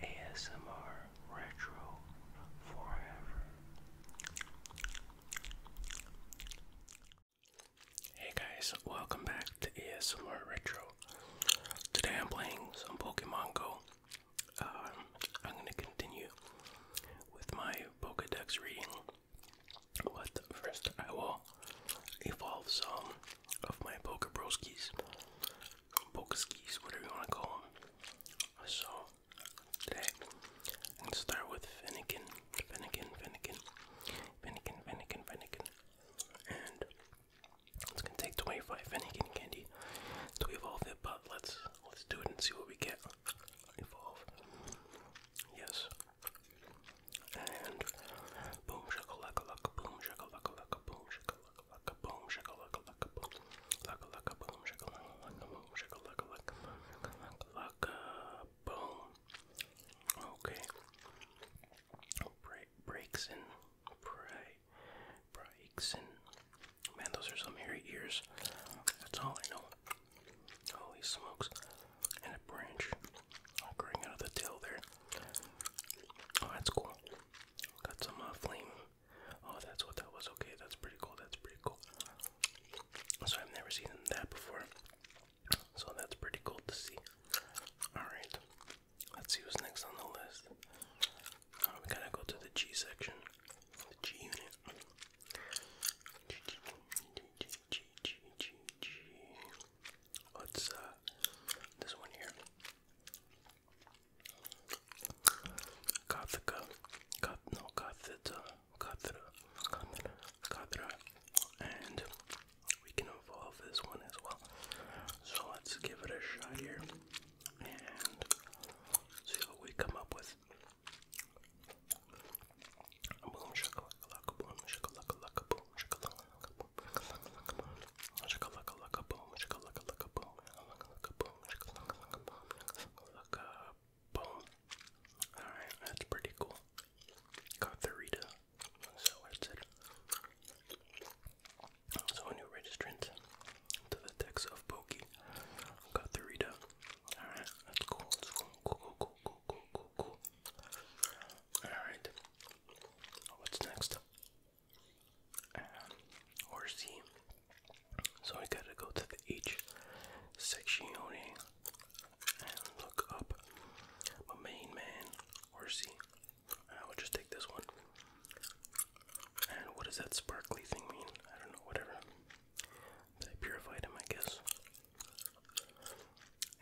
ASMR Retro Forever. Hey guys, welcome back to ASMR Retro. Today I'm playing some Pokemon Go. Um, I'm going to continue with my Pokedex reading, but first I will evolve some of my Pokebroskies poke skis, whatever you want to call them. So today I'm gonna start with Finnegan, Finnegan, Finnegan, Finnegan, Finnegan, Finnegan, and it's gonna take 25 Finnegan candy to evolve it. But let's let's do it and see what we get. Evolve, yes. And boom, shakalaka, boom, shakalaka, boom, shakalaka boom, shakalaka, laka boom, laka laka boom, shakalaka, laka boom, shakalaka, laka boom, laka boom. Okay. breaks in, breaks in. Man, those are some hairy ears. That's all I know. Holy smokes! And a branch, growing out of the tail there. Oh, that's cool. Got some uh, flame. Oh, that's what that was. Okay, that's pretty cool. That's pretty cool. So I've never seen that before. So that's pretty cool to see. All right, let's see what's next on the list. Uh, we gotta go to the G section, the G unit. G, G, G, G, G, G, G. Let's, uh, this one here. Gothica, Goth, no, Gothita, Gothita, Gothita, Gothita, and we can evolve this one as well. So let's give it a shot here and see what we come up with. Boom, shakalaka, boom, shakalaka, boom, shakalaka, boom, Alright, that's pretty cool. Got the Rita, so that's it. So a new registrant to the text of Pokey. Got the Rita. Alright, that's cool, that's cool, cool, cool, cool, cool, cool, cool. Alright. What's next? Um, or C. So I gotta go to the H section and look up my main man or C. I uh, will just take this one. And what does that sparkly thing mean? I don't know, whatever. But purified him, I guess.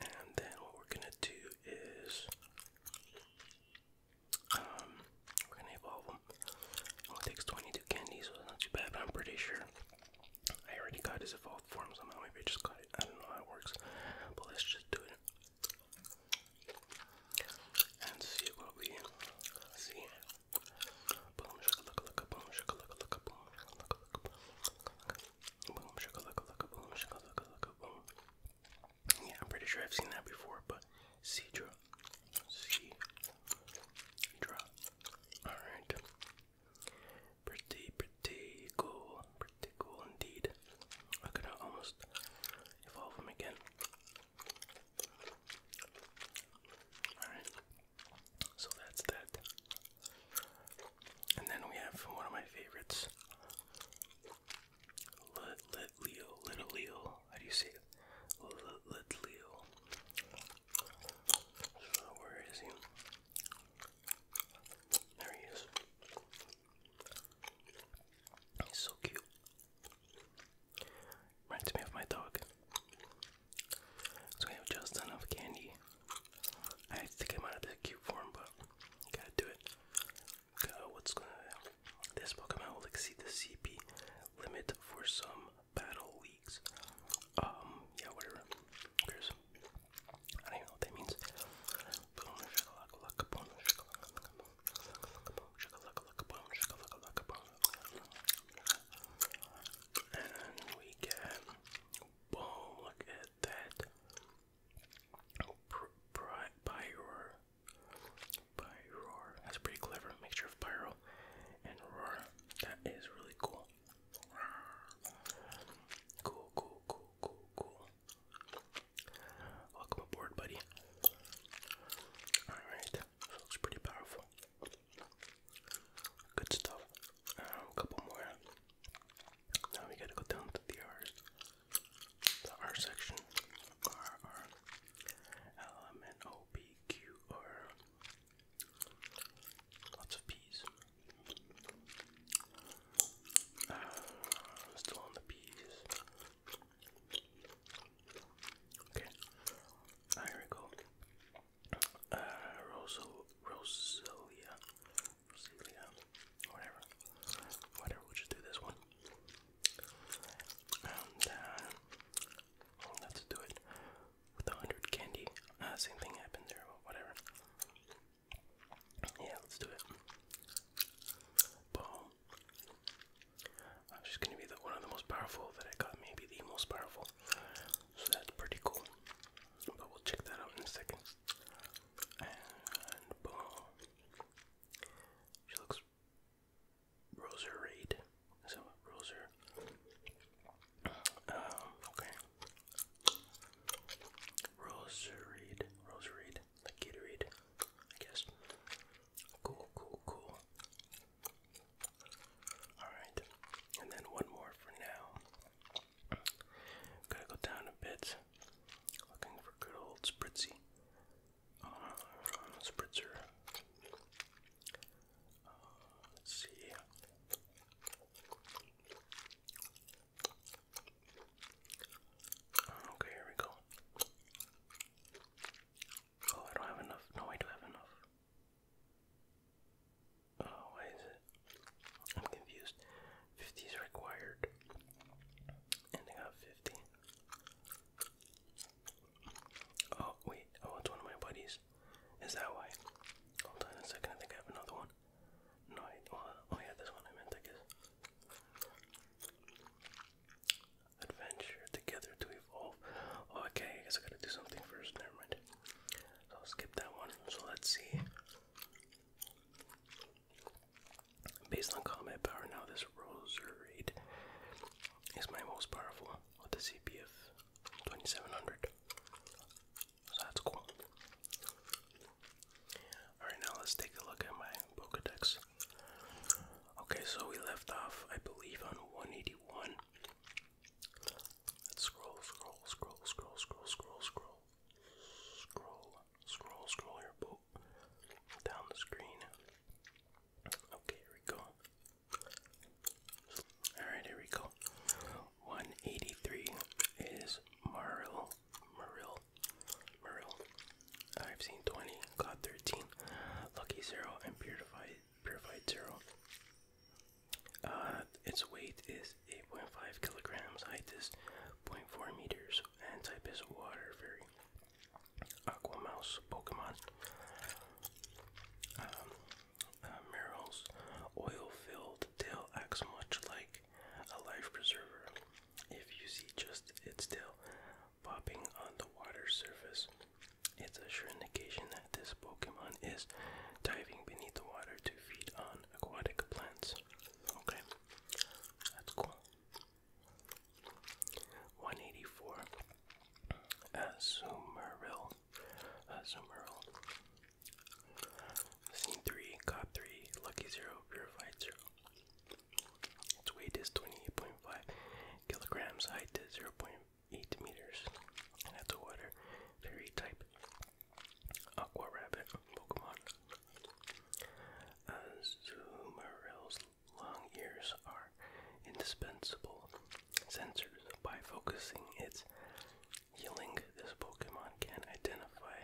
And then what we're gonna do is um, we're gonna evolve them. Only takes 22 candy, so it's not too bad. But I'm pretty sure I already got his evolved form somehow. Maybe I just got it. I don't know how it works, but let's just do it and see what we see. Boom shakalaka boom shakalaka boom shakalaka boom shakalaka boom shakalaka boom. Yeah, I'm pretty sure I've seen that before, but Cedra. Cedra. Alright. Pretty, pretty cool. Pretty cool indeed. I could almost evolve him again. Alright. So that's that. And then we have one of my favorites. Little little Leo. How do you say it? Little Leo. where is he? There he is. He's so cute. Reminds me of my dog. So we have just enough candy. I have to take him out of the cute form, but Gotta do it. what's gonna This Pokemon will exceed the CP limit for some battle leagues. Um, yeah, whatever. There's, I don't know what that means. And we get boom, look at that. Oh, Pyroar. Pyroar. That's pretty clever. Mixture of pyro and roar. That is really cool. Cool, cool, cool, cool, cool. Welcome aboard, buddy. Alright, looks pretty powerful. Good stuff. a um, couple more. Now we gotta go down to the R's. The R section. R, R. L, M, N, O, P, Q, R. Lots of P's. Uh, still on the P's. Okay. Ah, here we go. Uh, Rosalia you know, whatever, whatever. We'll just do this one, and uh, let's do it with the hundred candy. Uh, same thing happened there, whatever. Yeah, let's do it. Boom. Uh, she's gonna be the one of the most powerful that I got, maybe the most powerful. So that's pretty cool. But we'll check that out in a second. And boom. She looks roserade. So roser. Um, okay. Roserade. Roserade. Like Gatorade, I guess. Cool, cool, cool. Alright. And then one more for now. Gotta go down a bit. Looking for good old spritzy. Uh, spritzer. Uh, let's see. Okay, here we go. Oh, I don't have enough. No, I do have enough. Oh, why is it? I'm confused. 50 is required. And I got 50. Oh, wait. Oh, it's one of my buddies. Is that why? Hold on a second. I think I have another one. No, I don't. Oh, yeah, this one I meant, I guess. Adventure together to evolve. Okay, I guess I gotta do something first. Never mind. I'll skip that one. So let's see. Based on combat power, now this Roserade is my most powerful with the CP of 2700. So that's cool. Alright, now let's take a look at my Pokedex. Okay, so we left off, I believe, on 181. Let's scroll, scroll, scroll, scroll, scroll, scroll, scroll. Scroll, scroll, scroll your boat down the screen. Okay, here we go. Alright, here we go. 183 is Maril. Maril. Maril. I've seen 20, got 13. Lucky 0 and Purified, purified 0. Uh, its weight is 8.5 kilograms, height is 0.4 meters, and type is water fairy. Aquamouse Pokemon. Um, uh, Meryl's oil-filled tail acts much like a life preserver. If you see just its tail popping on the water surface, it's a sure indication that this Pokemon is diving beneath the water to feed on aquatic plants. Okay, that's cool. 184. Azumarill. Azumarill. Scene 3, Cop 3, Lucky 0, Purified 0. Its weight is 28.5 kilograms, height is 0.8 meters, and that's a water fairy type. Aqua Rabbit Pokemon. Uh, long ears are indispensable sensors. By focusing its healing, this Pokemon can identify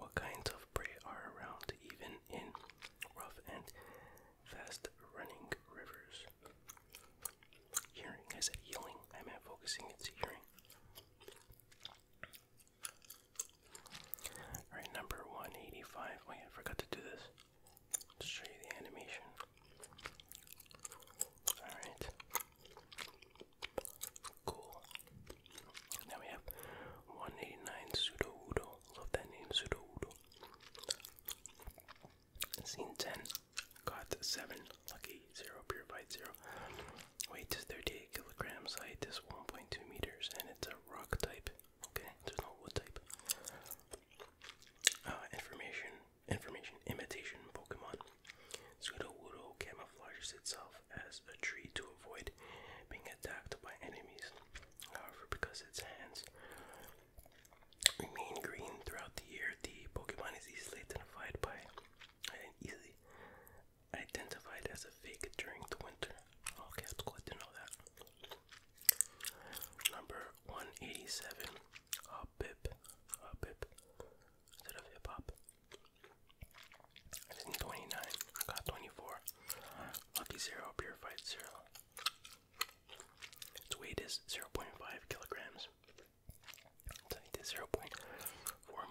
what kinds of prey are around, even in rough and fast running rivers. Hearing, I said I meant focusing its hearing. Alright, number 185. Wait, I forgot to do this. let show you the animation. Alright. Cool. Now we have 189 Pseudo Love that name, Pseudo Scene 10. Got seven lucky zero purified zero. Weight is 38 kilograms. Height is 1.2 meters, and it's a rock type. Okay, there's no wood type. Uh, information, information, imitation Pokemon. Sudowoodo camouflages itself as a tree to avoid being attacked by enemies. However, because its hands remain green throughout the year, the Pokemon is easily identified by I easily identify as a fake during the winter. Okay, it's cool to know that. Number 187, a bip, a bip, instead of hip hop. 29, I got 24. Lucky Zero, purified cereal. Its weight is 0.5 kilograms. Tight is 0.4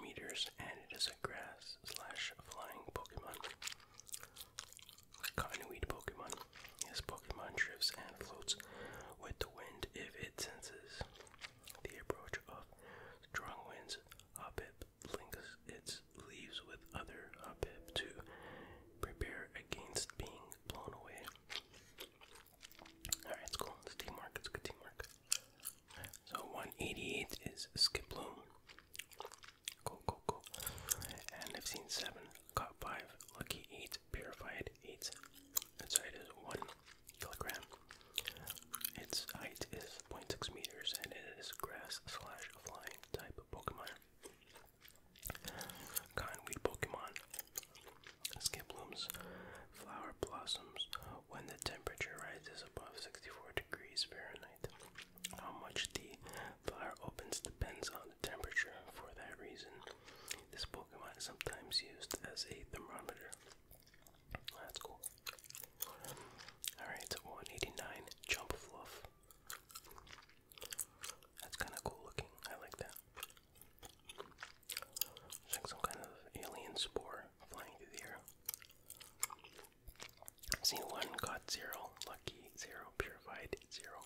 meters, and it is a grass slash flying Pokemon. Cottonweed Pokemon. This Pokemon drifts and floats with the wind if it senses the approach of strong winds. Hoppip links its leaves with other Hoppip to prepare against being blown away. Alright, it's cool. It's teamwork. It's good teamwork. So 188 is Skip Cool, cool, cool. And I've seen 7, caught 5, lucky 8, purified 8. Its height is 1 kilogram. Its height is 0.6 meters and it is grass slash flying type Pokemon. Conweed Pokemon. Skiplums, flower blossoms when the temperature rises above 64 degrees Fahrenheit. How much the flower opens depends on the temperature. For that reason, this Pokemon is sometimes used as a thermometer. That's cool. Alright, 189 Jump That's kind of cool looking. I like that. It's some kind of alien spore flying through the air. i one got zero, lucky zero, purified zero.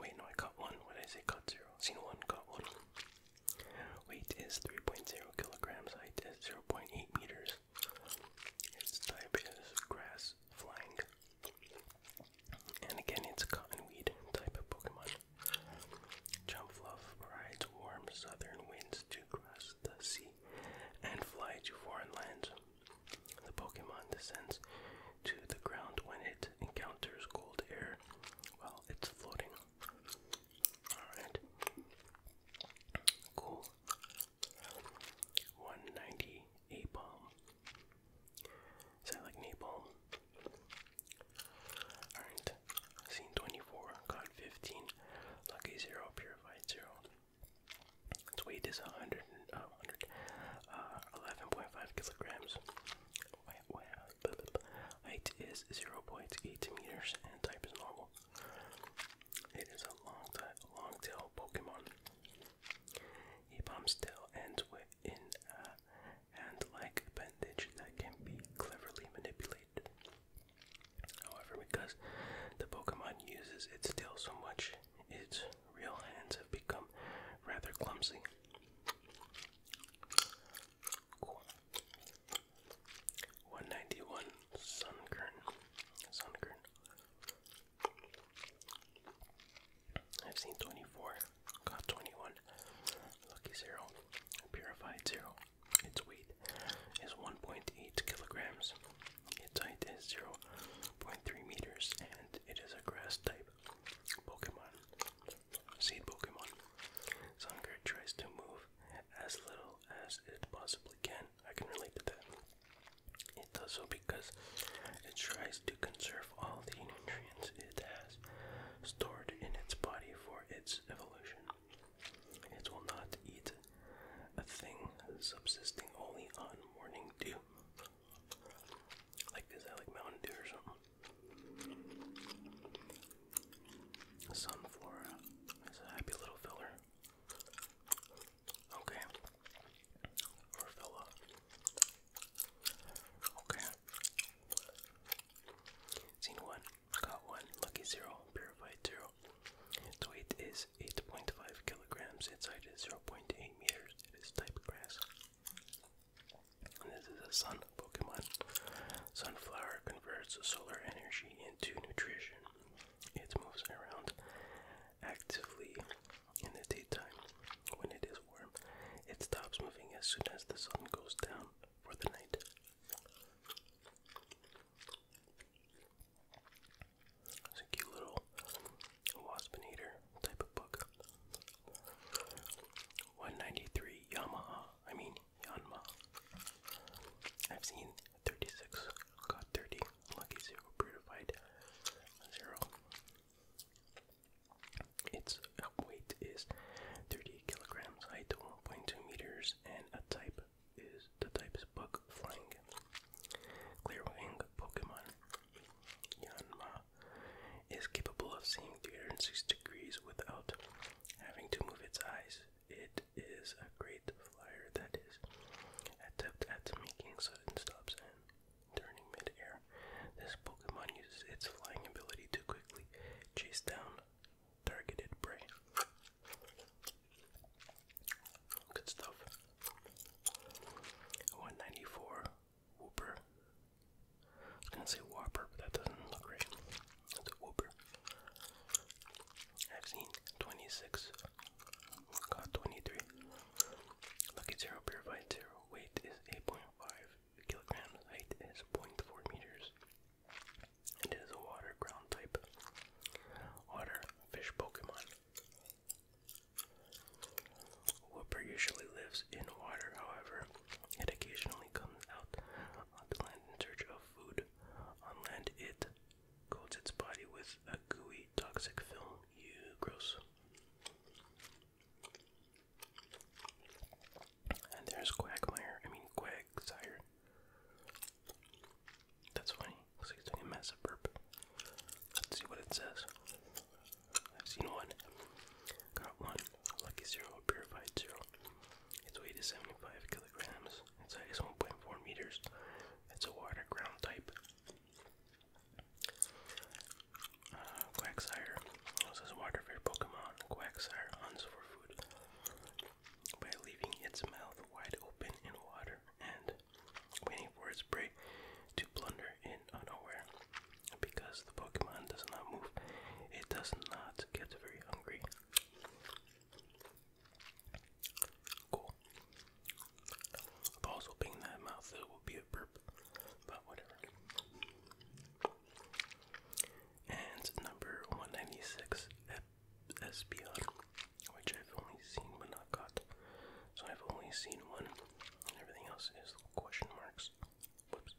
Wait, no, I caught one. What did I say? Caught zero. Seen one, caught one. Weight is 3.0 kilograms, height is 0.8 meters. Its type is grass flying. And again, it's a cottonweed type of Pokemon. Jump rides warm southern winds to cross the sea and fly to foreign lands. The Pokemon descends to the ground when it encounters cold air while it's floating. Alright. Cool. 190 A bomb. Is that like napalm? 24, caught 15, lucky 0, purified 0. Its weight is 100, uh, kilograms. Height is 0.8 meters and type is normal. It is a long, long tail Pokemon. He bumps tail ends uh, and like appendage that can be cleverly manipulated. However, because the Pokemon uses its tail so much, its real hands have become rather clumsy. 191 Sunkern. Sunkern. I've seen 24, got 21, lucky zero, purified zero. Its weight is 1.8 kilograms. Its height is 0.3 meters, and it is a grass type Pokemon. Seed Pokemon. Zunger tries to move as little as it possibly can. I can relate to that. It does so because it tries to conserve all the nutrients it has stored in its body for its evolution. It will not eat a thing subsisting only on morning dew. Like, is that like Mountain Dew or something? Sunflora is a happy little filler. Okay. Or fella. Okay. Scene one, got one, lucky zero, purified zero. Its weight is 8.5 kilograms, its height is 0.8 meters, it is type grass. And this is a sun Pokemon. Sunflower converts solar energy into nutrition. It moves around actively in the daytime when it is warm, it stops moving as soon as the sun goes down for the night. It's a cute little waspinator type of book. 193 Yamaha, I mean Yanma. I've seen 36, got 30, lucky zero, purified zero. Its weight is thirty kilograms, height 1.2 meters, and a type is the type is bug flying. Clear Pokemon Yanma is capable of seeing 306 degrees without having to move its eyes. It is a great flyer that is adept at making sudden stops and turning mid This Pokemon uses its flying ability to quickly chase down targeted prey. Good stuff. 194 Whooper. was gonna say Whopper, but that doesn't look right. It's a Whooper. I've seen 26. Got 23. Lucky Zero purified Zero weight is 8.5 kilograms, height is 0.4 meters. It is a water ground type. Water fish Pokemon. Whooper usually lives in water, however, it occasionally comes out onto land in search of food. On land, it coats its body with a gooey, toxic film. You gross. And there's Quagmire. I mean, Quagsire. That's funny. Looks like it's doing a massive burp. Let's see what it says. I've seen one. Got one. Lucky zero. Purified zero. Its weight is 75 kilograms. Its height is 1.4 meters. It's a water ground type. Uh, Quagsire. This is water for your Pokemon. Quagsire hunts for food by leaving its mouth wide open in water and waiting for its prey to plunder in unaware. Because the Pokemon does not move, it does not get very hungry. Cool. I've also been that mouth, so it would be a burp, but whatever. And number 196, Espion, which I've only seen but not caught. So I've only seen one, and everything else is question marks. Whoops.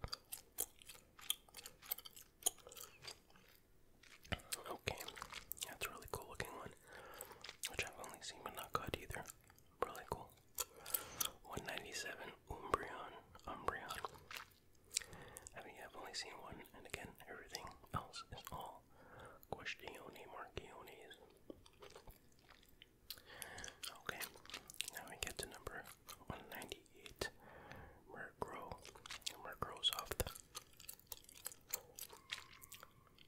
Okay, that's a really cool looking one, which I've only seen but not caught either really cool. 197 Umbreon, Umbreon. I mean, I've only seen one, and again, everything else is all Questione Marchiones. Okay, now we get to number 198 Murkrow, Murkrow's off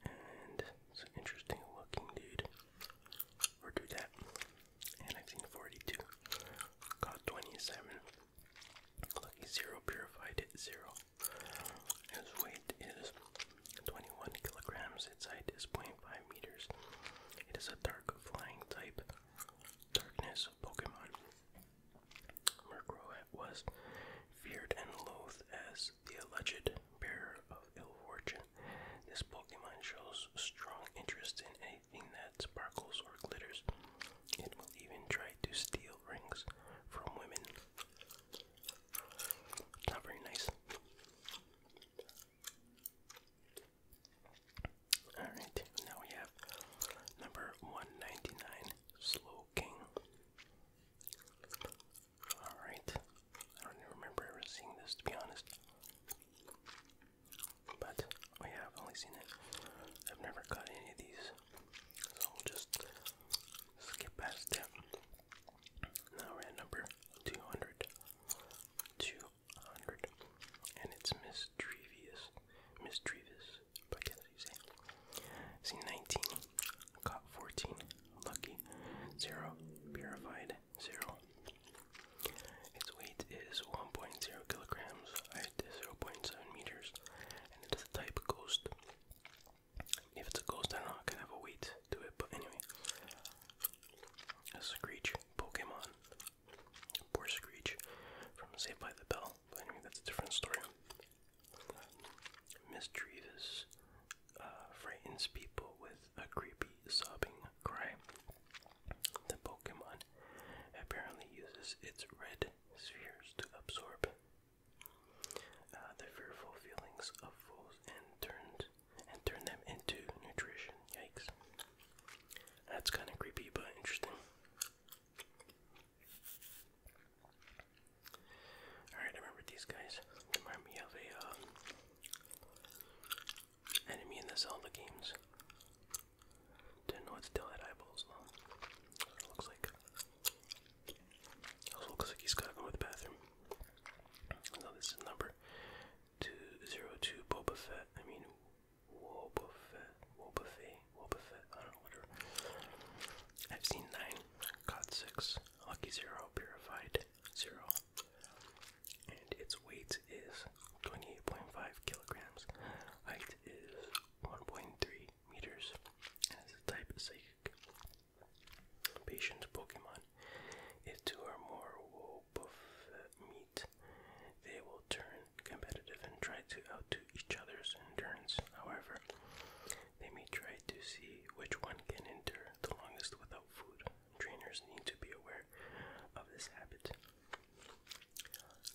and it's an interesting looking dude. Or do that. Caught 27. Lucky 0 purified 0. His weight is 21 kilograms. Its height is 0.5 meters. It is a dark flying type. Darkness Pokemon. Murkrow was feared and loathed as the alleged bearer of ill fortune. This Pokemon shows strong interest in anything that sparkles or glitters. It will even try to steal rings from women. Not very nice. Alright, now we have number 199, Slow Alright. I don't even remember ever seeing this to be honest. But oh yeah, I've only seen it. I've never got any of these. So we'll just skip past them. Now we're at number 200. 200. And it's Miss Trevious. Miss Trevious, but I guess you say. Seen 19. Caught 14 lucky, zero, purified, zero. Its weight is 1.0 kilograms, height is 0.7 meters, and it is a type ghost. If it's a ghost, I not know, it could have a weight to it, but anyway. A Screech Pokemon. Poor Screech from Saved by the Bell, but anyway, that's a different story. Miss uh, frightens people with a creepy sobbing cry. The Pokemon apparently uses its red spheres to absorb uh, the fearful feelings of foes and turned and turn them into nutrition. Yikes. That's kind of creepy but interesting. Alright, I remember these guys. Remind me of a um, enemy in the Zelda games. Didn't know it's still had eyeballs looks like. looks like he's to go to the bathroom. No, this is number two zero two Boba Fett. I mean Woba Fett. Woba I don't know I've seen nine. Caught 6, Lucky 0, Purified 0. And its weight is 28.5 kilograms. Height is 1.3 meters. And it's a type psychic. Patient Pokemon. If two or more will buff meet, they will turn competitive and try to outdo each other's endurance. However, they may try to see which one can endure the longest without food. Trainers need to be aware of this habit.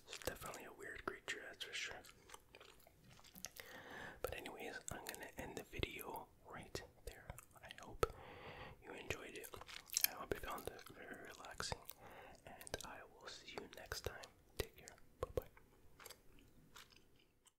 It's definitely a weird creature, that's for sure. But anyways, I'm gonna end the video right there. I hope you enjoyed it. I hope you found it very relaxing. And I will see you next time. Take care. Bye bye.